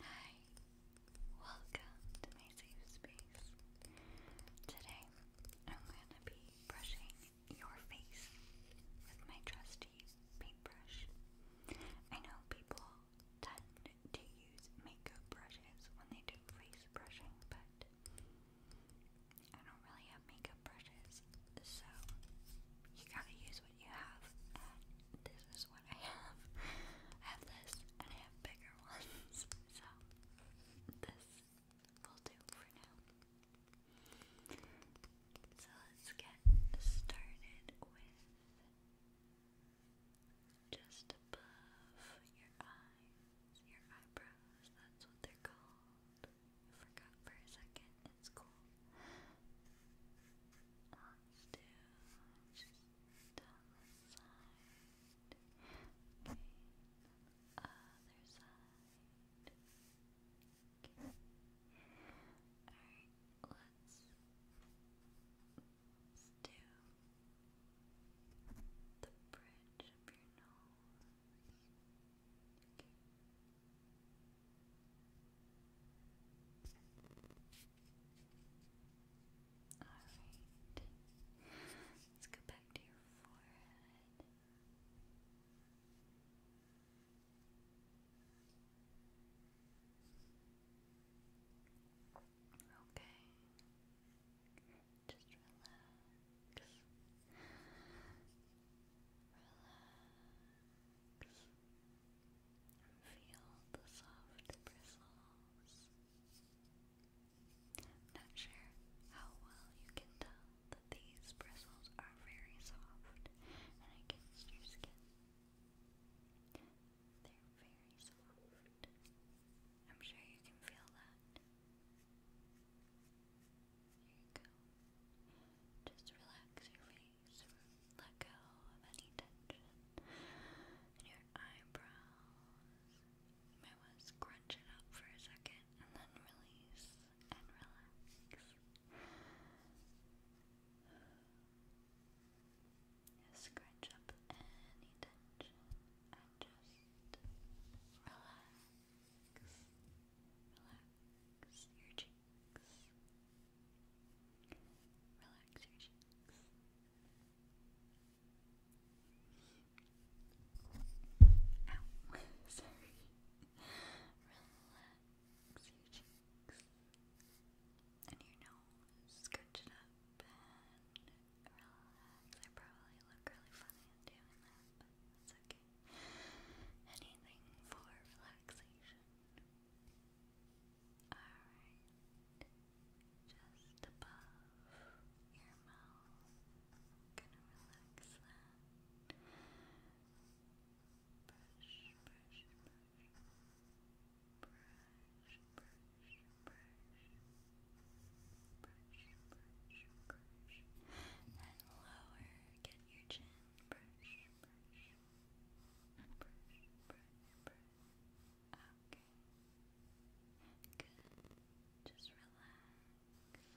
Hi, welcome to my safe space. Today I'm going to be brushing your face with my trusty paintbrush. I know people tend to use makeup brushes when they do face brushing, but I don't really have makeup brushes, so you gotta use what you have. this is is what I have. I have this and I have bigger ones. So this will do for now. So let's get started with just above your eyes, your eyebrows, that's what they're called. forgot for a second, it's cool. Let's do down the other side, okay, alright, let's do the bridge of your nose, okay. Alright. Let's go back to your forehead. Okay. Just relax. Relax. Feel the soft bristles. Not sure how well you can tell that these bristles are very soft against your skin. They're very soft. I'm sure you can feel that. There you go. Just relax your face ears, let go of any tension in your eyebrows. You might want up for a second and then release and relax. scrunch up any tension and just relax. Relax your cheeks cheeks. Relax your cheeks. Ow, sorry. Relax your cheeks. And your nose, scrunch it up and relax. I probably look really funny in doing that, but that's okay. Anything for relaxation. Good. Alright. Just above your mouth. gonna relax that. Brush, brush, brush. Brush, brush, brush. Brush, brush, brush. And lower, get your chin. Brush, brush, brush, Okay. Good. Just relax. Alright. Okay.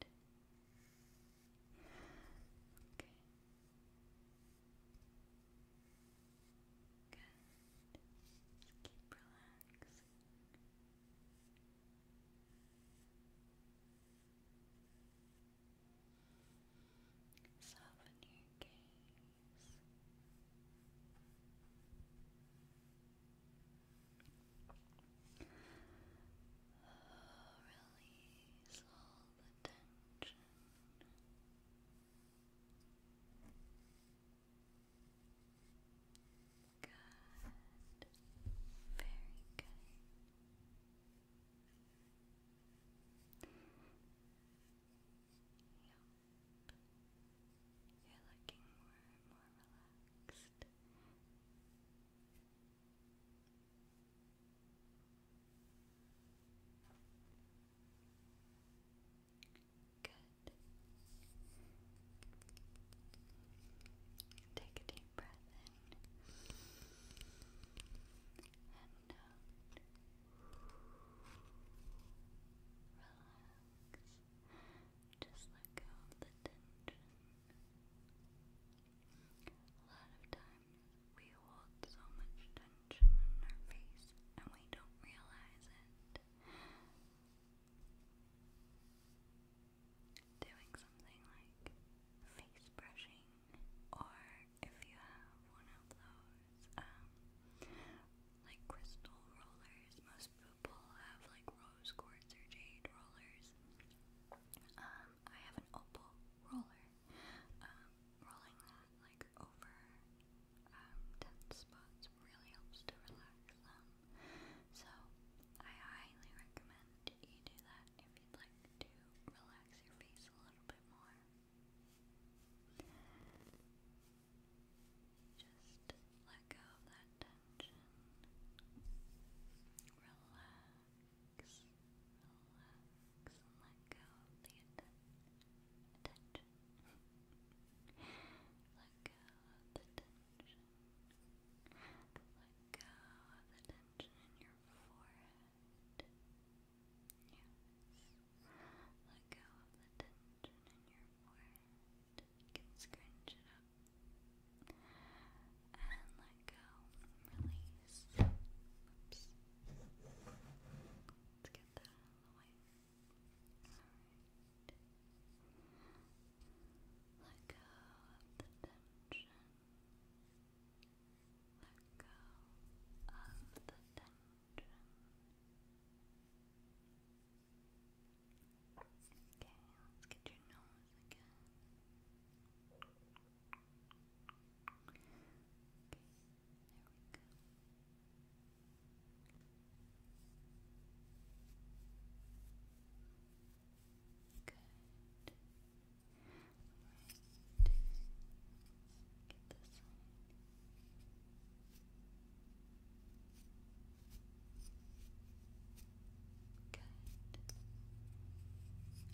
Good. Keep relaxing. Soften your Oh, release all the tension. Good. Very good. Yep. You're looking more and more relaxed. Good. Take a deep breath in and out. Uh, relax. Just let go of the tension. A lot of times we hold so much tension in our face and we don't realize it doing something like face brushing, or if you have one of those, um, like crystal rollers. Most people have like rose quartz or jade rollers. Um, I have an opal roller. Um, rolling that like over um, dead spots really helps to relax them. So, I highly recommend you do that if you'd like to relax your face a little bit more. Just let go of that tension. Relax, relax, let go of the atten let go of the tension tension. Let go of the tension in your forehead. Let go of the tension in your forehead. You can scrunch it up. And let go. Release. Oops. Let's get that out let go of the tension. Let go of the tension. Okay, let's get your nose again. Okay, there we go. Good. Right. Get this Good.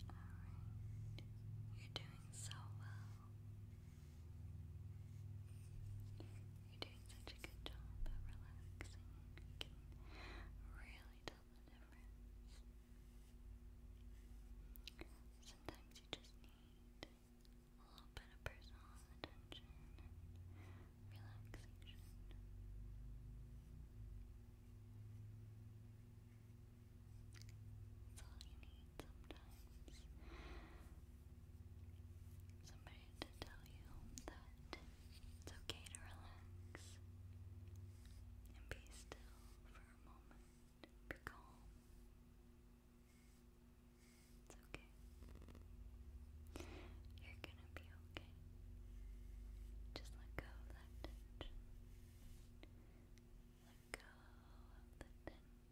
Alright. You're doing so well. You're doing such a good job of relaxing can really tell the difference. Sometimes you just need a little bit of personal attention relaxation. That's all you need sometimes. Some to tell you that it's okay to relax and be still for a moment. Be calm. It's okay. You're gonna be okay. Just let go of that tension. Let go of the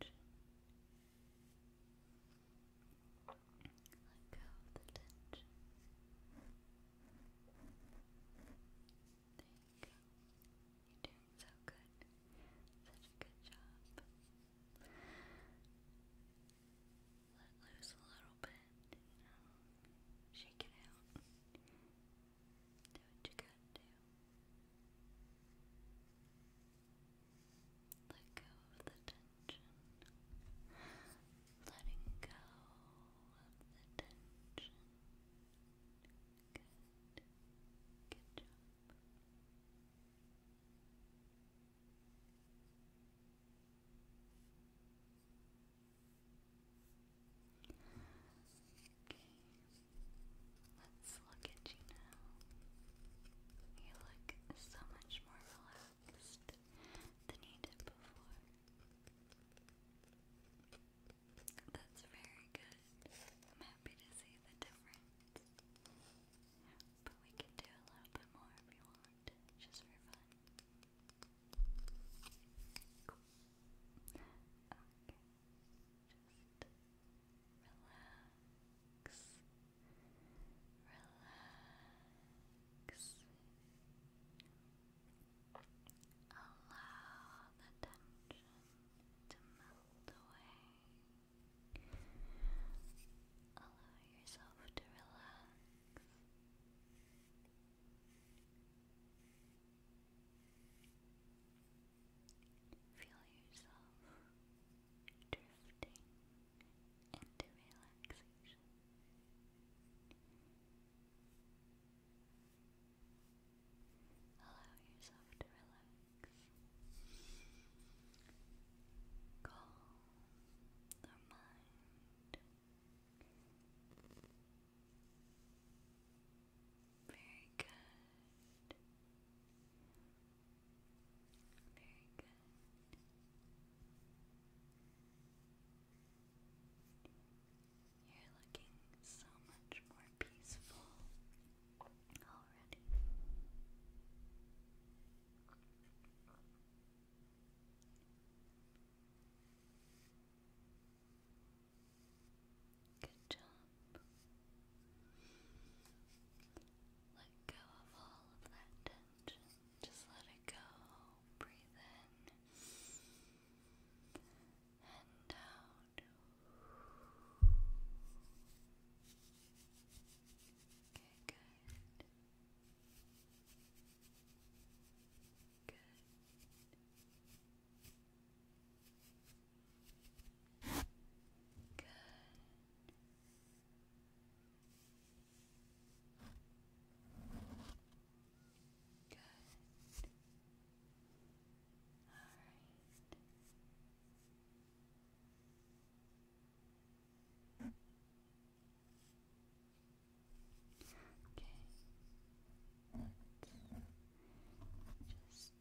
tension. Let go of the tension. There you go. You're doing so good. Such a good job. Let loose a little bit, you know. Shake it out. Do what you gotta do. Let go of the tension letting go of the tension. Good, good job. Okay, let's look at you now. You look so much more relaxed relaxed than you did before. That's very good. I'm happy to see the difference. But we can do a little bit more if you want, just for fun. Cool. Okay. Just relax. Relax. Allow the tension to melt away. Allow yourself to relax. Feel yourself drifting into relaxation. Allow yourself to relax. Calm the mind. Very good. Very good. You're looking so much more peaceful already. Good job. Let go of all of that tension. Just let it go. Breathe in and out. Okay, good. Good. Good. Good. All right. Okay. just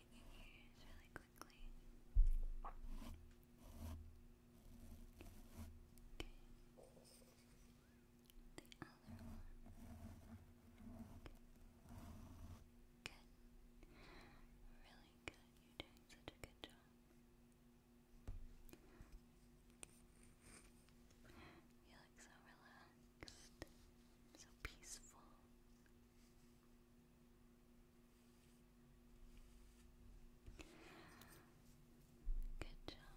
in The other one. Really good. You're such a good job. You look so relaxed, so peaceful. Good job.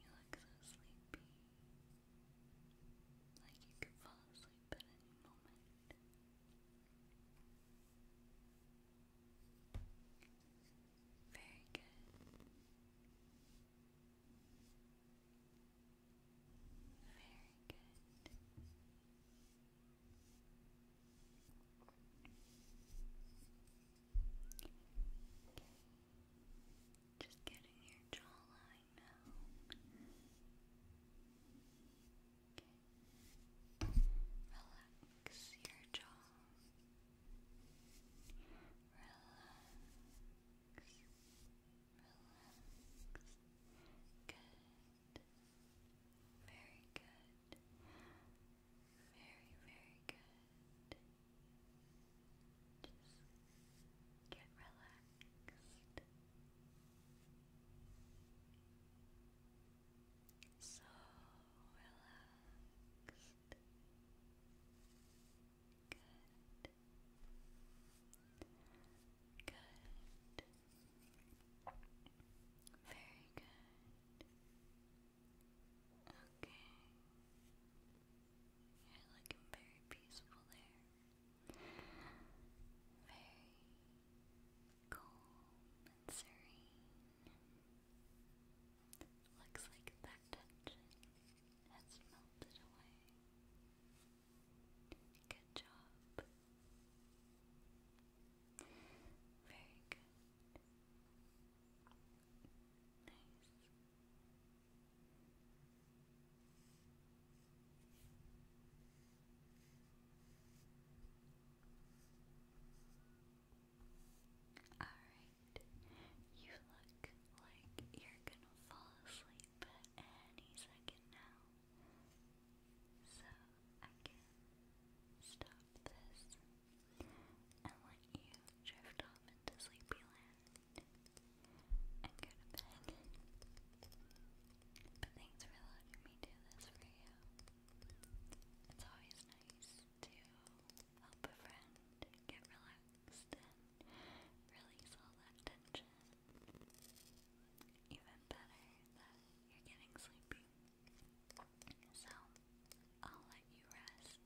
You look so sleepy. Like you could fall asleep at any moment. Very good. Very good. Just getting your jawline now. Okay. Relax your jaw. Relax. Relax. Good. Very good. Very, very good. Just get relaxed. So relaxed. Good. Good. Very good. Okay. You're looking very peaceful there. Very calm and serene. Looks like that tension has melted away. Good job. Very good. Nice. Alright, you look like you're gonna fall asleep any second now. So I can stop this and let you drift off into Sleepyland and go to bed. But thanks for letting me do this for you. It's always nice to help a friend get relaxed and release all that tension even better that you're getting sleepy. So, I'll let you rest.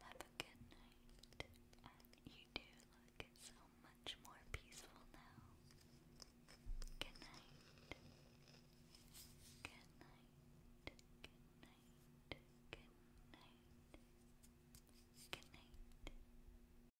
Have a good night. you do look so much more peaceful now. Good night. Good night. Good night. Good night. Good night.